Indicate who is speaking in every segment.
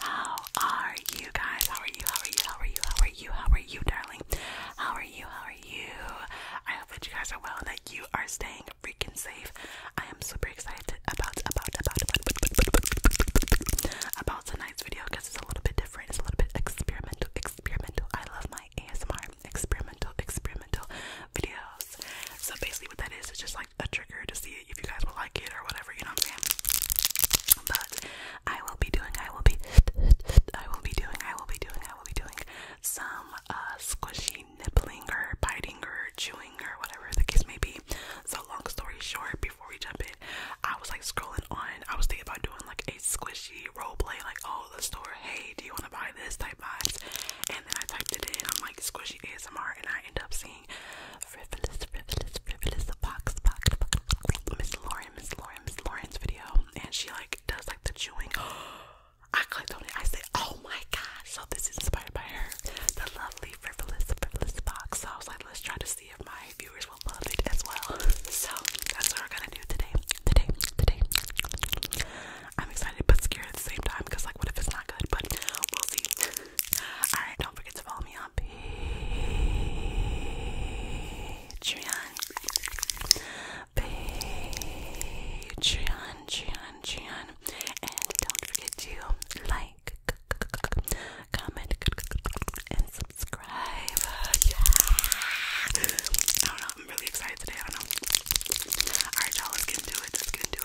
Speaker 1: How are you guys? How are you? How are you? How are you? How are you? darling? How are you? How are you? I hope that you guys are well, that you are staying freaking safe. I am super excited about about about about about tonight's video because it's a little bit different. It's a little bit experimental, experimental. I love my ASMR experimental, experimental videos. So basically what that is is just like a trigger to see if you guys will like it or whatever, you know what I'm saying? But I will be doing, I will be, I will be doing, I will be doing, I will be doing some uh, squishy nibbling or biting or chewing or whatever the case may be. So long story short, before we jump in, I was like scrolling on, I was thinking about doing like a squishy role play, like oh the store, hey do you want to buy this type vibes? And then I typed it in, I'm like squishy ASMR and I end up seeing frivolous, frivolous, frivolous, box, Miss Lauren, Miss Lauren, Miss Lauren's video, and she like does like the chewing. I clicked on it. I said, "Oh my gosh!" So this is inspired by her, the lovely frivolous, frivolous box. So I was like, "Let's try to see if my viewers will love it as well." So that's what we're gonna do today, today, today. I'm excited but scared at the same time because like, what if it's not good? But we'll see. Alright, don't forget to follow me on Patreon. Patreon, Patreon, Patreon. And don't forget to like, comment, and subscribe. I don't know, I'm really excited today, I know. Alright y'all, let's get into it, let's get into it.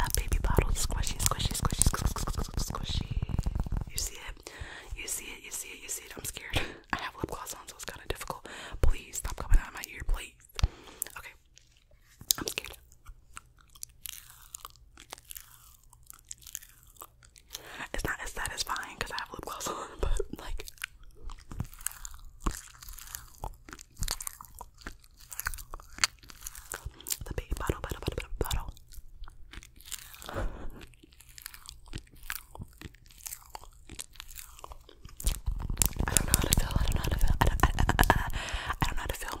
Speaker 1: a baby bottle. Squishy, squishy, squishy, squishy, squishy. You see it? You see it? You see it? You see it? I'm scared. I have lip gloss on, so it's kind of difficult. Please stop coming out of my ear, please. Okay. I'm scared. It's not as satisfying because I have lip gloss on, but like. The baby bottle, bottle, bottle, bottle, bottle. I don't know how to feel. I don't know how to feel. I don't, know how to feel.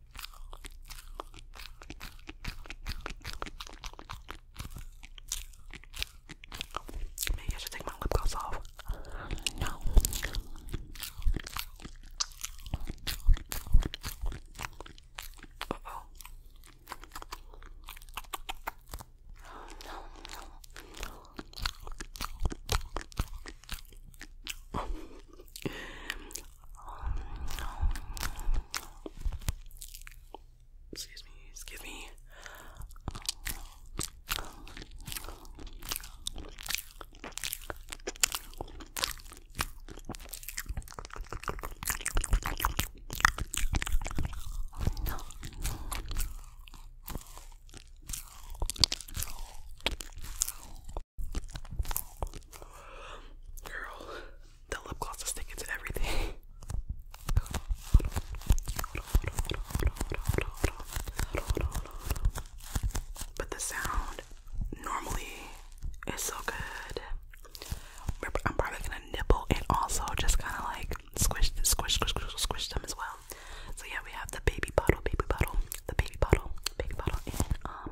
Speaker 1: Maybe I should take my lip gloss off. No. Excuse me, excuse me. Girl, the lip gloss is sticking to everything. But the sound normally is so good. I'm probably gonna nibble and also just kind of like squish, squish, squish, squish, squish them as well. So yeah, we have the baby bottle, baby bottle, the baby bottle, baby bottle, and um,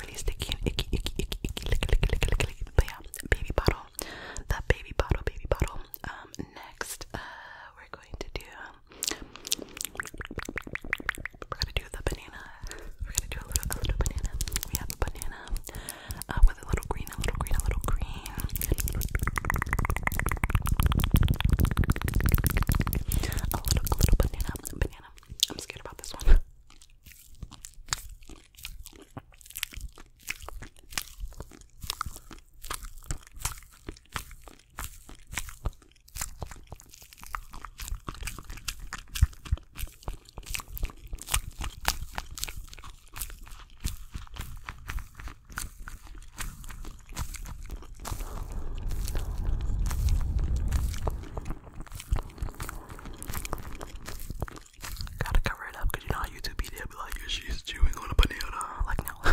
Speaker 1: really sticky and icky, icky, icky, icky, lick, lick, lick, lick, lick. But yeah, baby bottle. That baby bottle, baby bottle. Um, next, uh, we're going to do. Um, we're gonna do the banana. We're gonna do a little, a little banana. We have a banana uh, with a little green, a little green, a little green. A little, a little banana, banana. I'm scared about this one. Gotta cover it up you know how YouTube be there like, she's chewing on a banana. Like, no.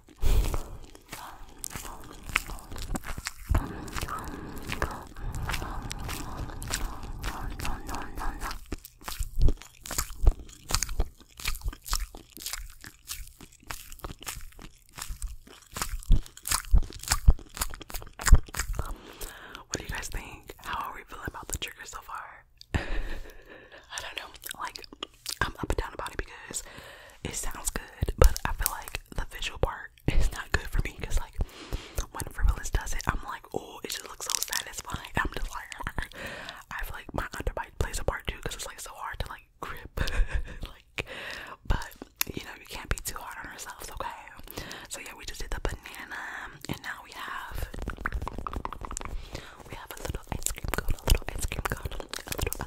Speaker 1: What do you guys think? How are we feeling about the trigger so far? I don't know. Like, I'm up and down about it because it sounds good, but I feel like the visual part is not good for me because, like, when Frivolous does it, I'm like, oh, it just looks so satisfying. I'm just like, I feel like my underbite plays a part too because it's like so hard to like grip, like, but you know, you can't be too hard on ourselves, okay? So, yeah, we just did the banana, and now we have we have a little ice cream cone, a little ice cream cone, a little, a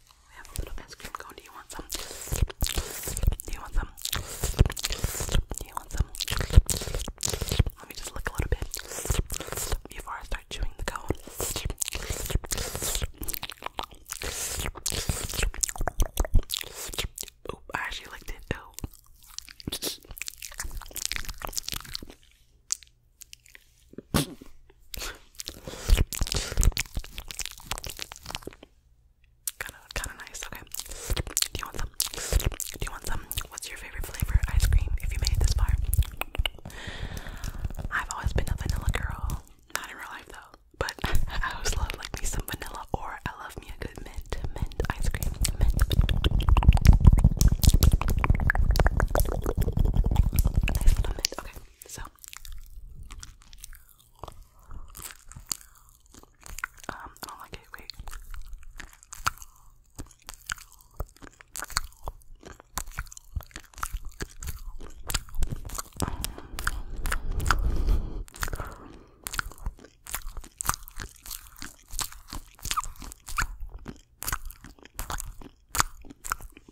Speaker 1: We have a little ice cream cone. Do you want some? Do you want some? Do you want some? Let me just look a little bit before I start chewing the cone. Oh, I actually liked it. Oh. Kind of, kind of nice. Okay. Do you want some? Do you want some? What's your favorite flavor ice cream? If you made it this far, I've always been a vanilla girl. Not in real life though, but I always love like me some vanilla, or I love me a good mint, mint ice cream, mint. Okay. So, um, I don't like it. I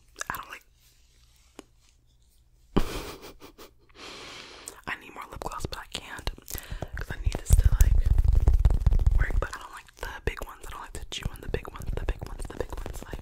Speaker 1: don't like I need more lip gloss, but I can't because I need this to like work. But I don't like the big ones. I don't like to chew on the big ones. The big ones. The big ones. Like.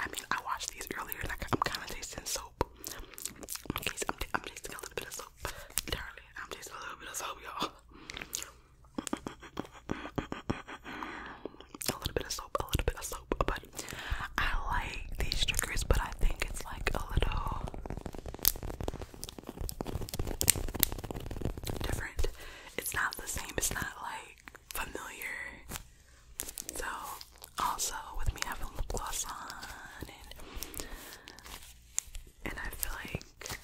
Speaker 1: I mean, I washed these earlier and I, am kind of tasting soap. I'm, tasting, I'm, tasting a little bit of soap. Literally, I'm tasting a little bit of soap, y'all. A little bit of soap, a little bit of soap. But I like these triggers, but I think it's like a little different. It's not the same, it's not like familiar. So, also with me having lip gloss on, and, I feel like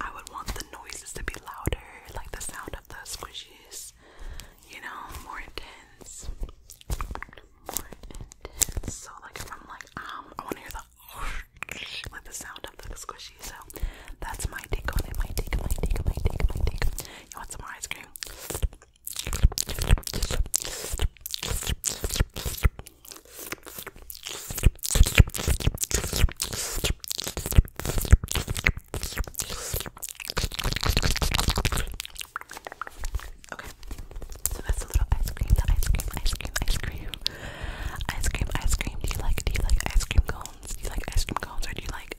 Speaker 1: I would want the noises to be louder, like the sound of the squishies, you know, more intense. More intense. So, like, if I'm like, um, I want to hear the like the sound of the squishies, I that's my take on it. My take, my take, my take, my take. You want some more ice cream? Okay, so that's a little ice cream, the ice cream, ice cream, ice cream, ice cream, ice cream. Do you like, do you like ice cream cones? Do you like ice cream cones, or do you like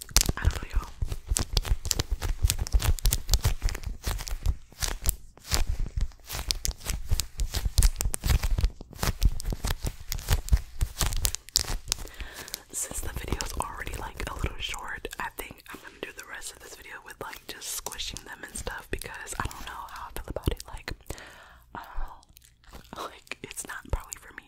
Speaker 1: I don't know, y'all. Since the video is already like a little short, I think I'm gonna do the rest of this video with like just squishing them and stuff because I don't know how I feel about it. Like, uh, like it's not probably for me.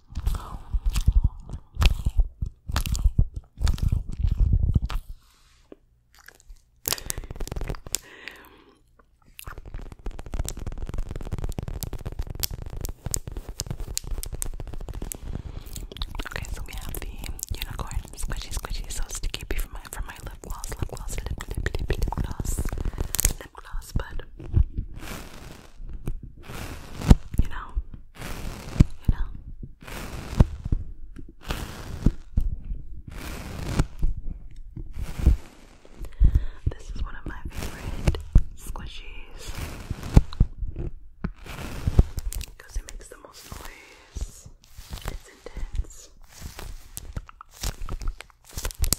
Speaker 1: okay, so we have the unicorn squishy squishy so sticky for my for my lip gloss, lip gloss, lip lip lip lip gloss, lip gloss, but you know? You know? This is one of my favorite squishies because it makes the most noise. It's intense.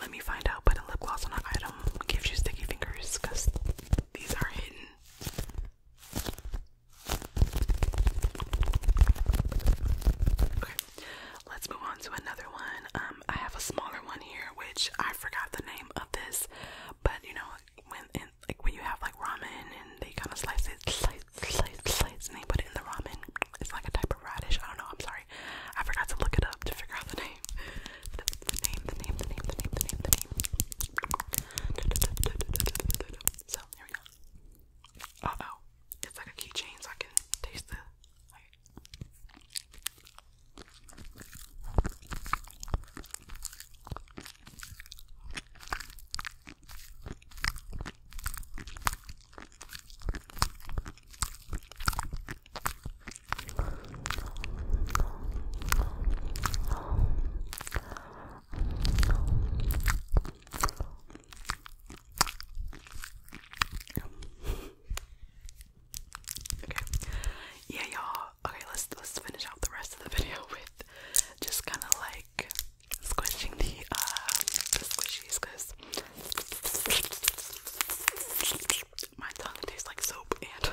Speaker 1: let me find out, but a lip gloss on an item gives you sticky fingers because these are hidden. Okay, let's move on to another one. Um, I have a smaller one here, which I forgot the name of this, but you know, when like when you have like ramen and they kind of slice it, sliced, sliced, and they put it in the ramen. It's like a type of radish. I don't know. I'm sorry. I forgot to look it up to figure out the name. The, name, the name, the name, the name, the name, the name. So here we go. Uh oh, it's like a keychain, so I can taste the. Okay. Yeah, y'all. Okay, let's let's finish out the rest of the video with just kind of like squishing the uh, squishies because my tongue tastes like soap and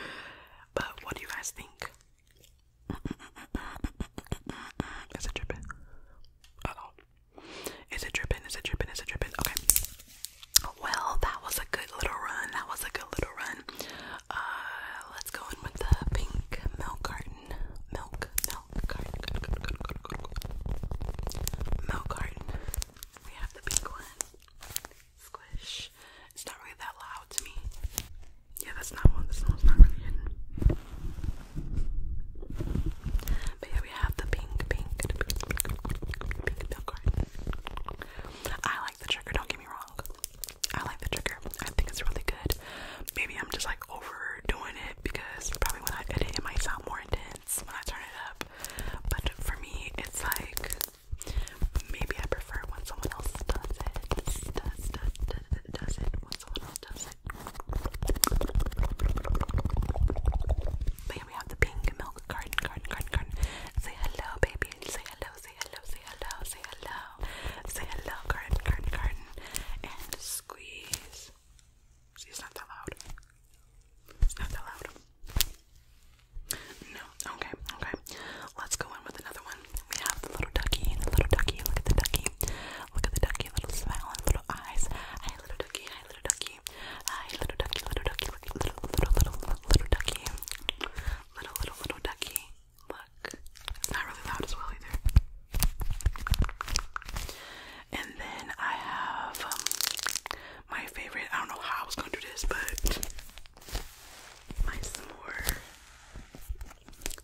Speaker 1: but what do you guys think? Is it dripping? Uh Is it dripping? Is it dripping? Is it dripping? Okay. Well, that was a good little run. That was a good little run. Uh, let's go in with the pink milk carton milk, milk milk carton. We have the pink one. Squish. It's not really that loud to me. Yeah, that's not one. This one's not really hidden. But yeah, we have the pink, pink, pink milk carton. I like the trigger. Don't get me wrong. I like the trigger. I think it's really good. Maybe I'm just like over doing it because probably when I edit it might sound more intense when I turn it up. But for me, it's like maybe I prefer when someone else does it. Does, we have the pink milk garden, garden, garden, garden. Say hello, baby. Say hello, say hello, say hello, say hello. Say hello, garden, garden, garden. And squeeze. See, it's not that loud. It's not that loud. No, okay, okay. Let's go in with another one. We have the little ducky, the little ducky, look at the ducky. Look at the ducky, little smile little eyes. Hi, little ducky, hi, little ducky. Hi, little ducky, little ducky, little, little, little, little, little ducky. Little, little, little ducky. Look. It's not really loud as well either. And then I have um, my favorite. I don't know how I was gonna do this, but my s'more.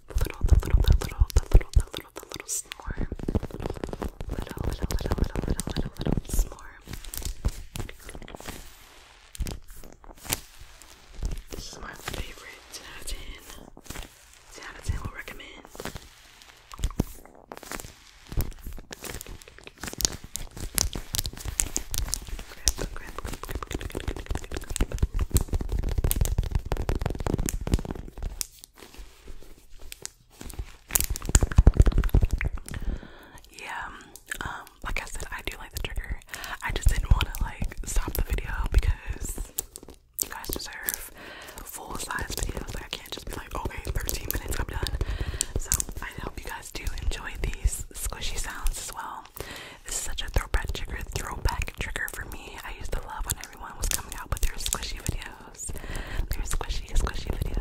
Speaker 1: The little, the little, the little, the little, the little, the little s'more. Little, little, little, little, little, little, little s'more. This is my favorite. 10 out 10 out of 10 would recommend. Yeah, um, like I said, I do like the trigger. I just didn't want to like stop the video because you guys deserve full size videos. Like I can't just be like, okay, 13 minutes, I'm done. So I hope you guys do enjoy these squishy sounds as well. This is such a throwback trigger, throwback trigger for me. I used to love when everyone was coming out with their squishy videos. Their squishy, squishy videos.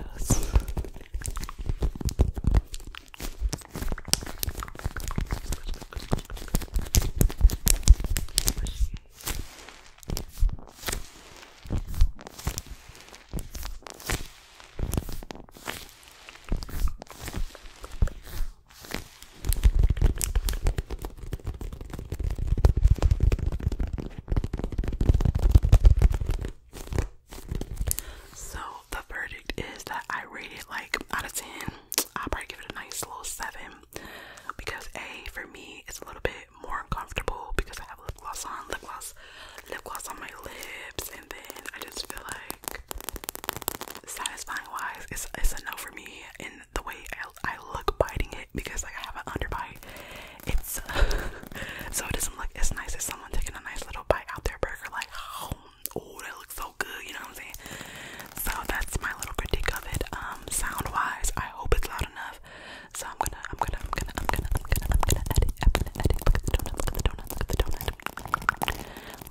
Speaker 1: So the verdict is that I rate it like out of 10. I'll probably give it a nice little 7 because A for me it's a little bit more uncomfortable because I have lip gloss on, lip gloss, lip gloss on my lips, and then I just feel like satisfying wise it's it's a no for me in the way I, I look biting it because I have an underbite. It's so it doesn't look as nice as someone taking a nice little bite out their burger like oh, oh that looks so good, you know what I'm saying? So that's my little critique of it. Um sound wise, I hope it's loud enough have. So I'm gonna, I'm gonna, I'm gonna, I'm gonna, I'm gonna, I'm gonna edit. I'm gonna edit. Look at the donut. Look at the donut. Look at the donut. Look at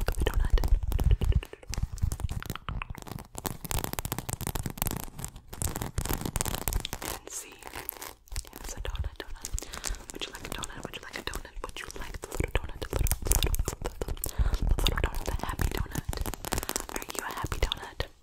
Speaker 1: the donut. And see. Yeah, it's a donut. Donut. Would you like a donut? Would you like a donut? Would you like the little donut? The little, the little, the little, the little donut. The happy donut. Are you a happy donut?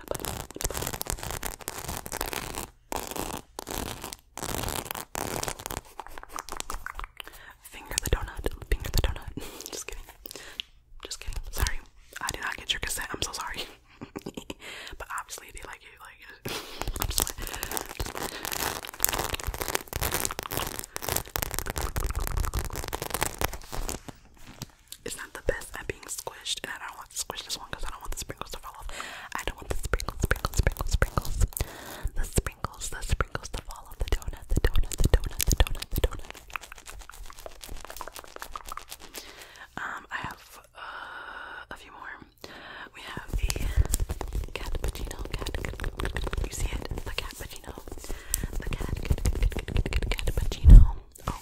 Speaker 1: Finger the donut, finger the donut. Just kidding. Just kidding. Sorry. I did not get your cassette. I'm so sorry. but obviously they like it, I'm just it's not the best at being squished, and I don't want to squish this one because I don't want the sprinkles to fall off. I don't want the sprinkles, sprinkles, sprinkles, sprinkles, the sprinkles, the sprinkles to fall off the donut, the donut, the donut, the donut, the donut. Um, I have uh, a few more. We have the cat cappuccino. Cat, cat, cat, cat, you see it? The cat cappuccino. The cat, cat, cat, cat, cat, cat, cat, cat cappuccino. Oh,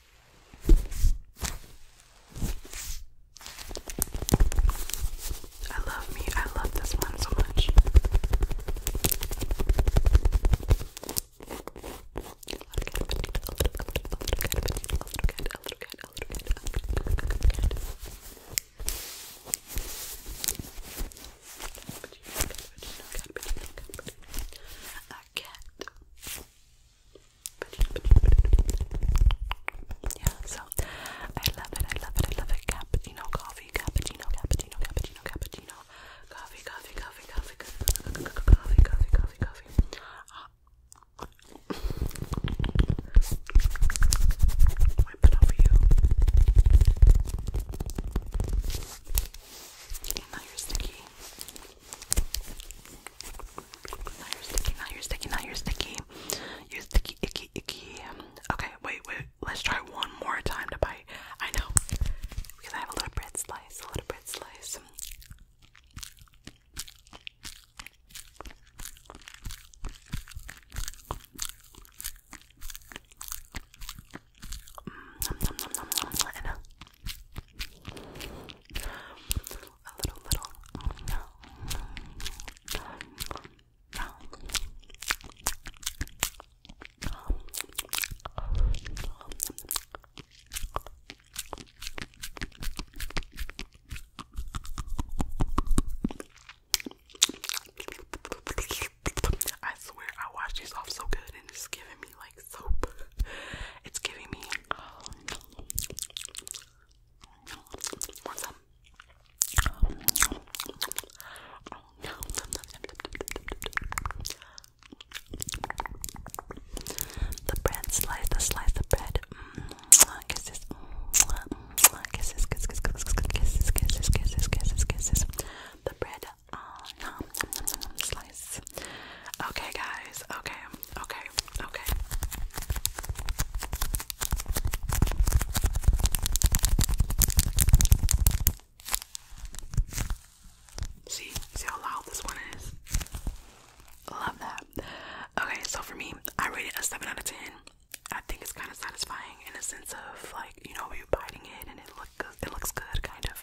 Speaker 1: I love me, I love this one so much. A cat. Yeah, so I love it, I love it, I love it. Cappuccino coffee, cappuccino, cappuccino, cappuccino, cappuccino, coffee, coffee, coffee, coffee, coffee, coffee, coffee, coffee, coffee. Ah. Wipe it over you. now you're sticky. Now you're sticky, now you're sticky, now you're sticky. You're sticky, icky, icky. Okay, wait, wait. Let's try one more time to bite. I know. Because I have a little bread slice, a little bread slice. Mm, nom, nom, nom, nom, nom. And, uh, I swear I wash these off so good and it's giving me like soap. It's giving me um, the bread slice, the slice of bread. Mm, kisses, mm, kisses, kisses, kisses, kisses, kisses, kisses, kisses, kisses, kisses. The bread. Uh, um, Okay, guys. Okay, okay, okay. See, see how loud this one is. Love that. Okay, so for me, I rate it a seven out of ten. I think it's kind of satisfying in a sense of like you know you're biting it and it look it looks good kind of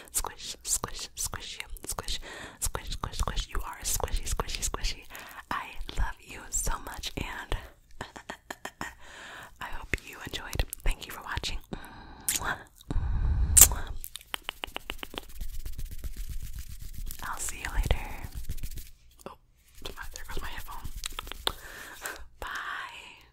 Speaker 1: Squish, squish, squish you. Squish, squish, squish, squish. You are squishy, squishy, squishy. I love you so much and I hope you enjoyed. Thank you for watching. I'll see you later. Oh, there goes my headphone. Bye.